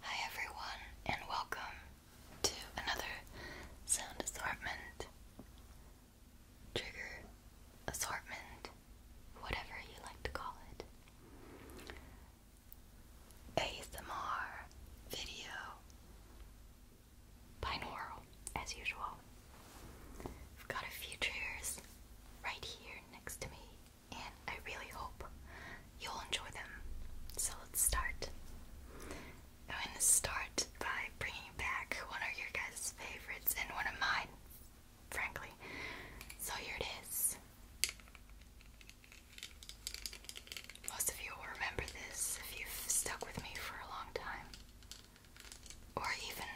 Hi everyone, and welcome to another sound assortment, trigger assortment, whatever you like to call it, ASMR video, binaural as usual. I've got a few triggers right here next to me and I really hope you'll enjoy them. So let's start. I'm going to start by bringing back one of your guys' favorites and one of mine, frankly. So here it is. Most of you will remember this if you've stuck with me for a long time. Or even,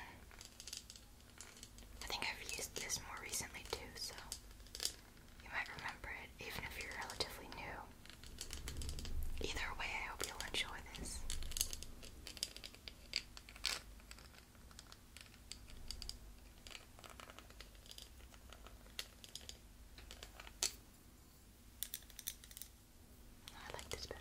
I think I've used this more recently too, so. You might remember it even if you're relatively new. Either way, I hope you'll enjoy this. I like this better.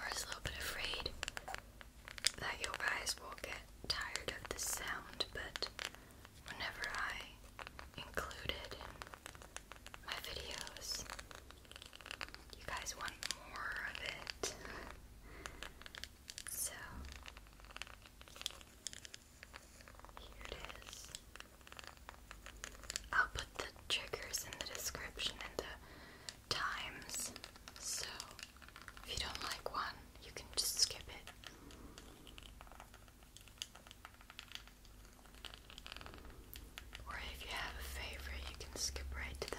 We're a little bit afraid that you guys will get tired of the sound, but whenever I include it in my videos, you guys want more of it. So, here it is. I'll put the triggers in the description and the times. So if you don't like one, you can just skip it. Or if you have a favorite, you can skip right to that.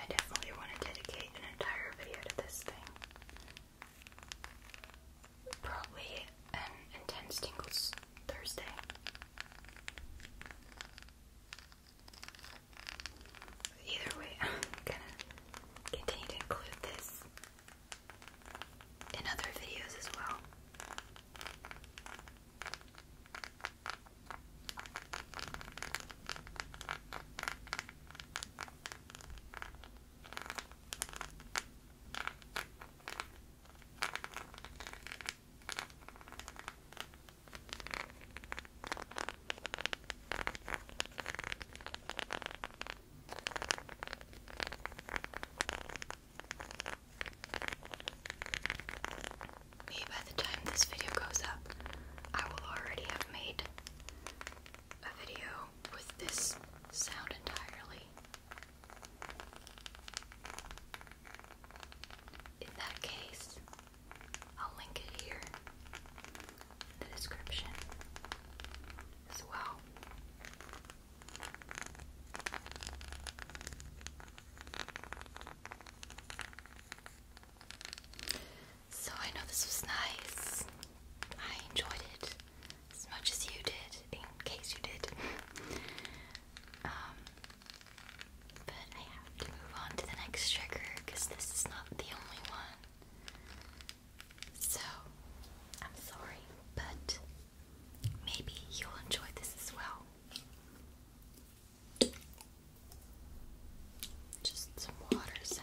I definitely want to dedicate an entire video to this thing. Probably intense tingles Thursday. Either way, gonna continue to include this in other videos as well. Maybe by the time this video goes up, I will already have made a video with this sound entirely. In that case, I'll link it here in the description as well. So I know this was nice. I enjoyed it as much as you did, in case you did. um, but I have to move on to the next trigger because this is not the only one. So, I'm sorry, but maybe you'll enjoy this as well. Just some water sounds.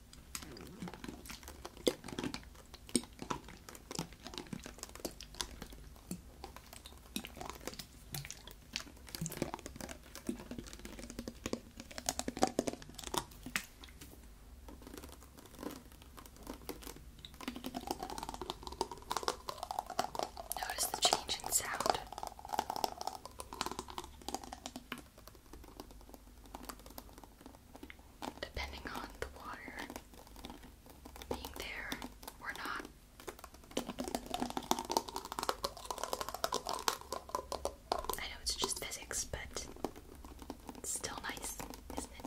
Notice the change in sound depending on the water being there or not. I know it's just physics, but it's still nice, isn't it?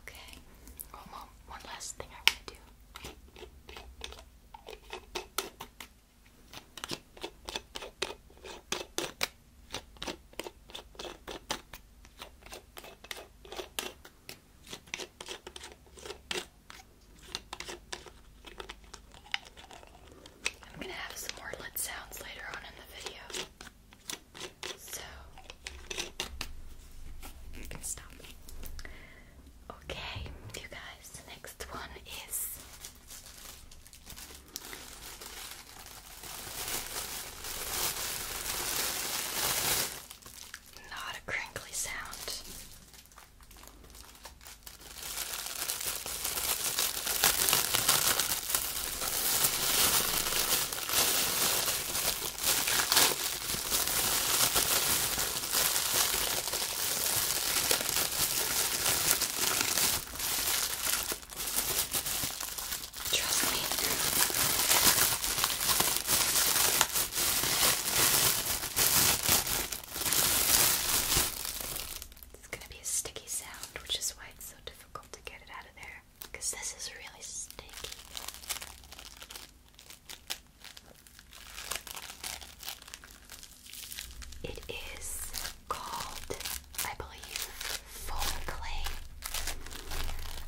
Okay. One, last thing I want to do. I'm going to have some more lit sounds later on in the video. So you stop. Okay, you guys, next one is not a crinkly sound. Trust me. It's going to be a sticky sound, which is why it's so difficult difficult to get it out of there because this is really sticky. It is called, I believe, foam clay.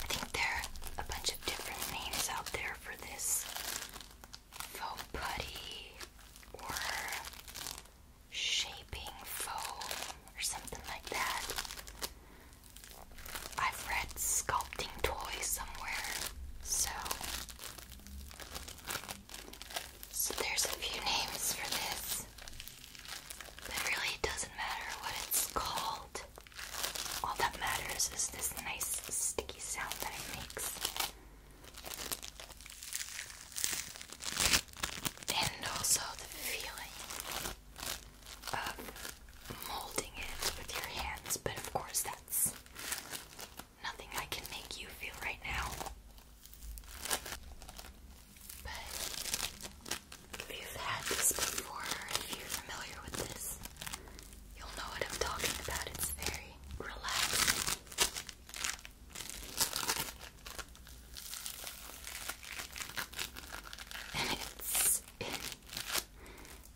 I think there are a bunch of different names out there for this foam putty or shaping foam or something like that. I've read sculpting toys somewhere, so so there's a few names for this. But really doesn't matter what it's called. All that matters is this nice sticky sound that it makes and also the feeling of molding it with your hands, but of course, that's nothing I can make you feel right now. But if you've had this before, if you're familiar with this, you'll know what I'm talking about. It's very relaxing it's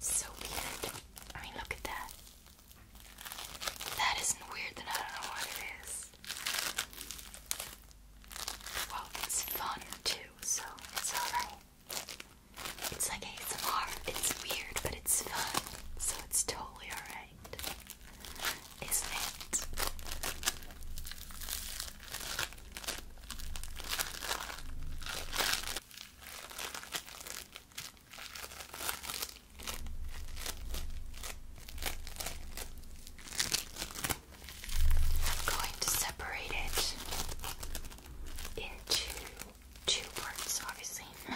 so weird. I mean, look at that. That isn't weird, then I don't know what it is. Well, it's fun too, so it's alright. It's like ASMR. It's weird, but it's fun, so it's totally alright isn't I'm going to separate it into two parts, obviously.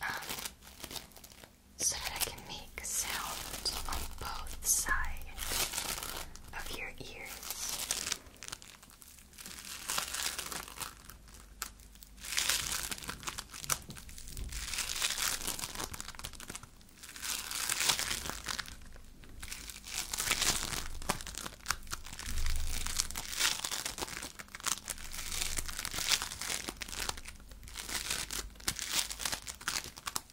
Um, so that I can make sound on both sides of your ears.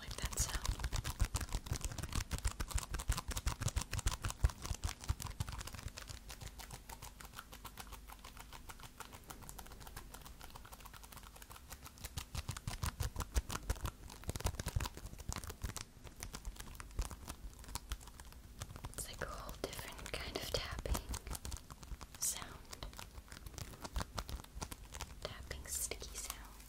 like that sound. It's like a whole different kind of tapping sound. Tapping sticky sound.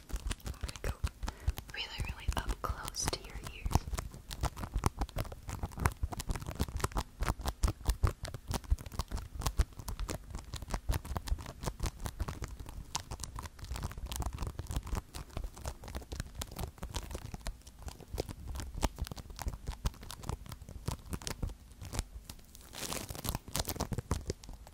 I'm gonna go really, really up close to your ears. Okay,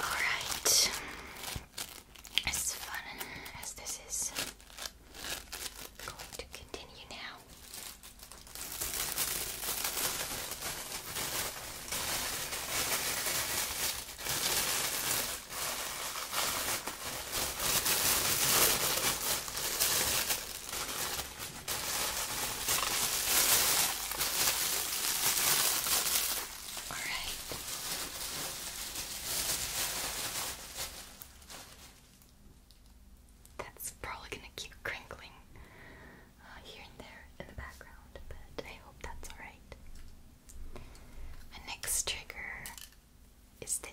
Alright, as fun as this is, going to continue now. All right. That's probably gonna keep crinkling uh, here and there in the background, but I hope that's all right. next trigger is this.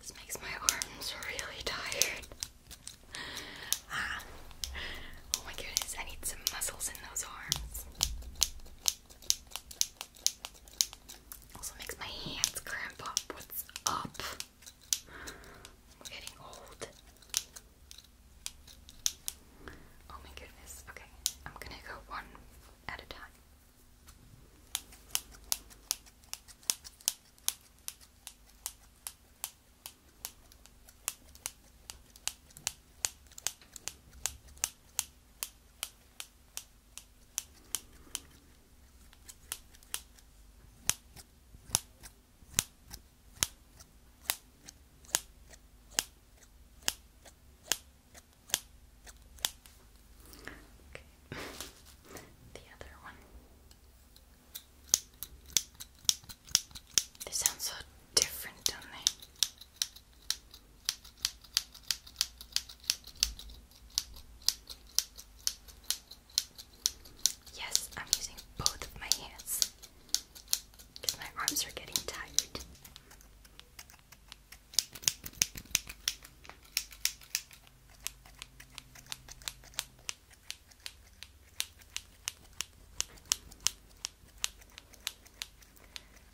This makes my arms really tired. Ah. Oh my goodness, I need some muscles in those arms. Also makes my hands cramp up. What's up? I'm getting old. Oh my goodness. Okay, I'm gonna go one at a time. Okay. the other one. They sound so different, don't they? Yes, I'm using both of my hands because my arms are getting tired.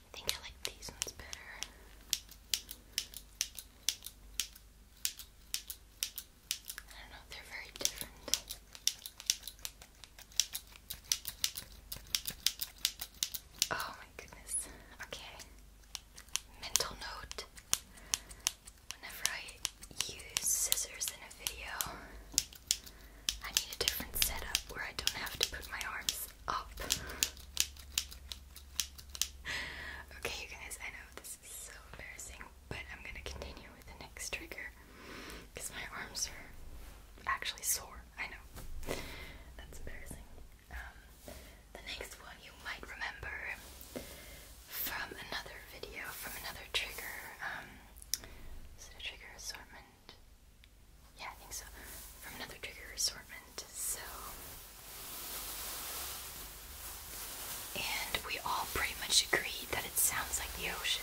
I think I like these ones better. I don't know, they're very different. Oh my goodness. Okay. Mental note. Whenever I use scissors in a video, I need a different setup where I don't have to put my arms up. okay, you guys, I know this is so embarrassing but I'm gonna continue with the next trigger because my arms are actually sore. I know that's embarrassing. Um, the next one you might remember from another video, from another trigger. Um, is it a trigger assortment? Yeah, I think so. From another trigger assortment. So and we all pretty much agreed that it sounds like the ocean.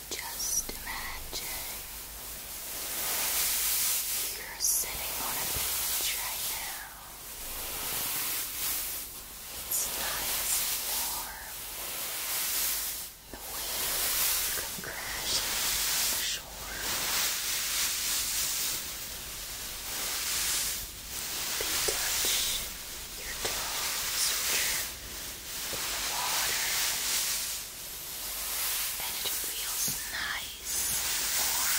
Just imagine you're sitting on a beach right now. It's nice and warm. The waves come crashing on the shore. They touch your toes, the water, and it feels nice and warm. Now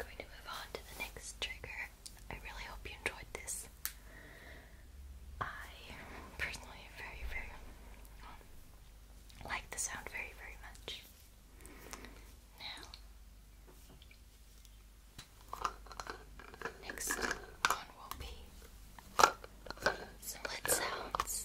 i going to move on to the next trigger. I really hope you enjoyed this. I personally very, very um, like the sound very, very much. Now, next one will be some sounds.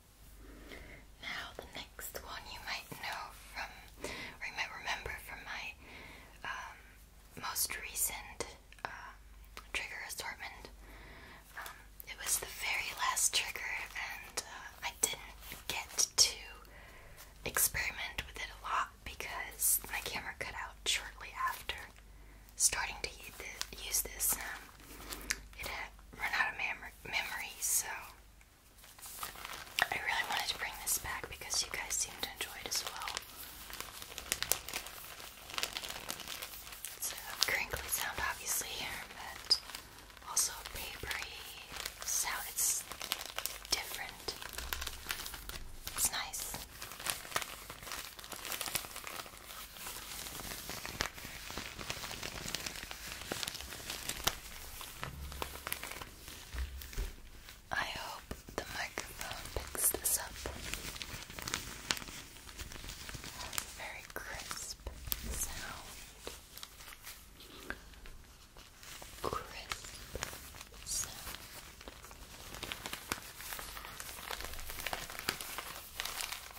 Now the next one you might know from, or you might remember from my um, most recent um, trigger assortment. Um, it was the very last trigger, and uh, I didn't get to experiment with it a lot because my camera cut out shortly after starting to use this. it had run out of memory, so I really wanted to bring this back because you guys seem to enjoy it as well. It's a crinkly sound, obviously, but also a papery sound. It's different. It's nice. I hope the microphone picks this up. Very crisp sound. Crisp sound.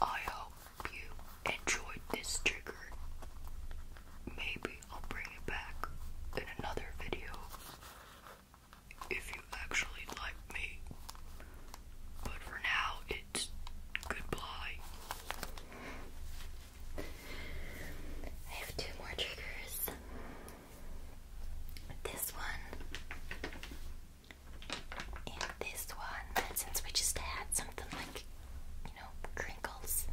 I hope you enjoyed this trigger. Maybe I'll bring it back in another video if you actually like me. But for now, it's goodbye. I have two more triggers. This one and this one, since we just had something like, you know, crinkles,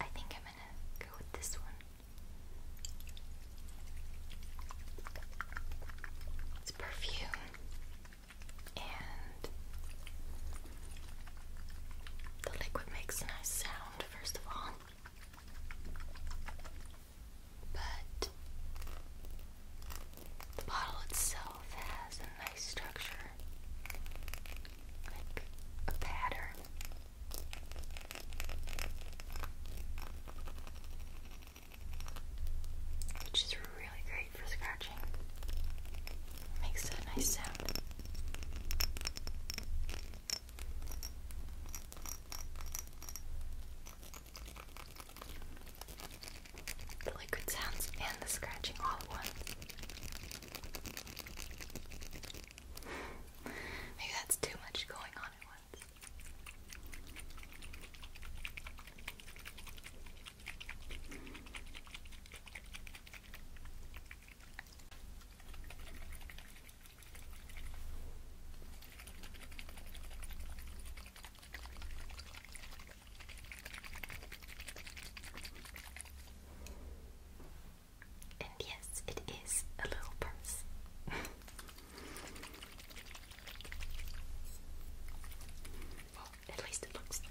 I think I'm gonna go with this one. It's perfume and the liquid makes a nice sound, first of all but the bottle itself has a nice structure, like a pattern. Which is really great for scratching. makes a nice sound. The liquid sounds and the scratching all at once. Maybe that's too much going on at once. And yes, it is a little purse. at least it looks cool.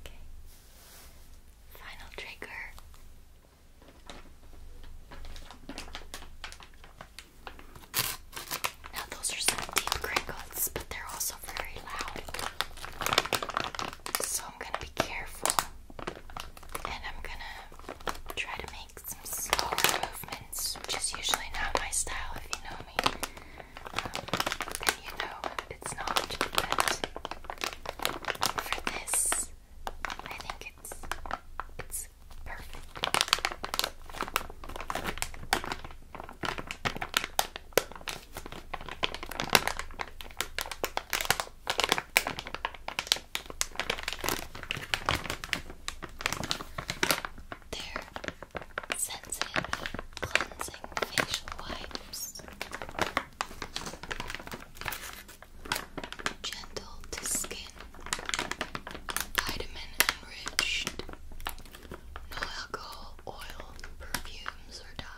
Okay. Final trigger. Now those are some deep crinkles, but they're also very loud. So I'm going to be careful. And I'm gonna try to make some slower movements, which is usually not my style if you know me. Um, and you know it's not, but for this, I think it's it's perfect. Their sensitive cleansing facial wipes. Gentle to skin, vitamin enriched, no alcohol, oil, perfumes, or dyes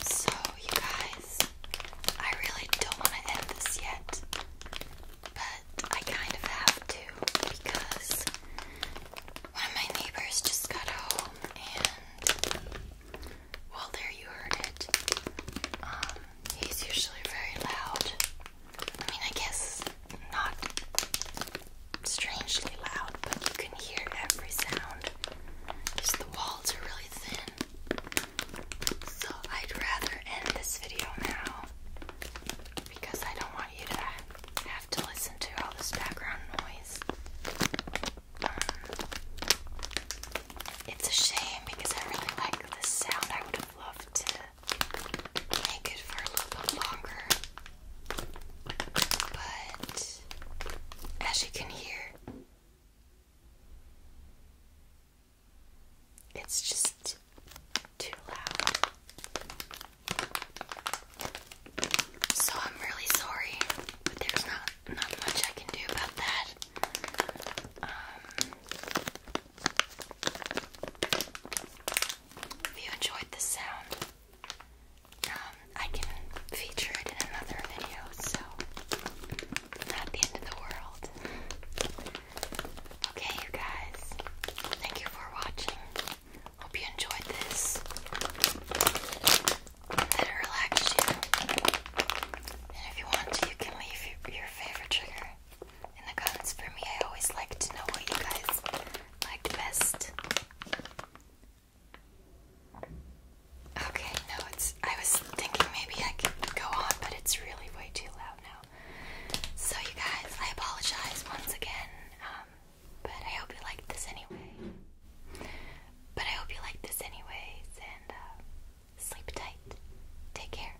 So, you guys, I really don't want to end this yet, but I kind of have to because one of my neighbors just got home and well, there you heard it. Um, he's usually very loud. I mean, I guess not strangely loud, but you can hear every sound. because the walls are really thin. So I'd rather end this video now because I don't want you to have to listen to all this background noise. It's a shame because I really like the sound. I would have loved to make it for a little bit longer. But as you can hear, it's just too loud. So I'm really sorry, but there's not not much I can do about that. if um, you enjoyed this sound, um, I can feature it in another video, so not the end of the world. Okay, you guys, thank you for watching. Hope you enjoyed this it relax you. And if you want you can leave your, favorite trigger in the comments for me. I always like to know what you guys liked best. Okay, no, it's. I was thinking maybe I could go on, but it's really way too loud now. So, you guys, I apologize once again, um, but I hope you like this anyway. But I hope you like this, anyways, and uh, sleep tight. Take care.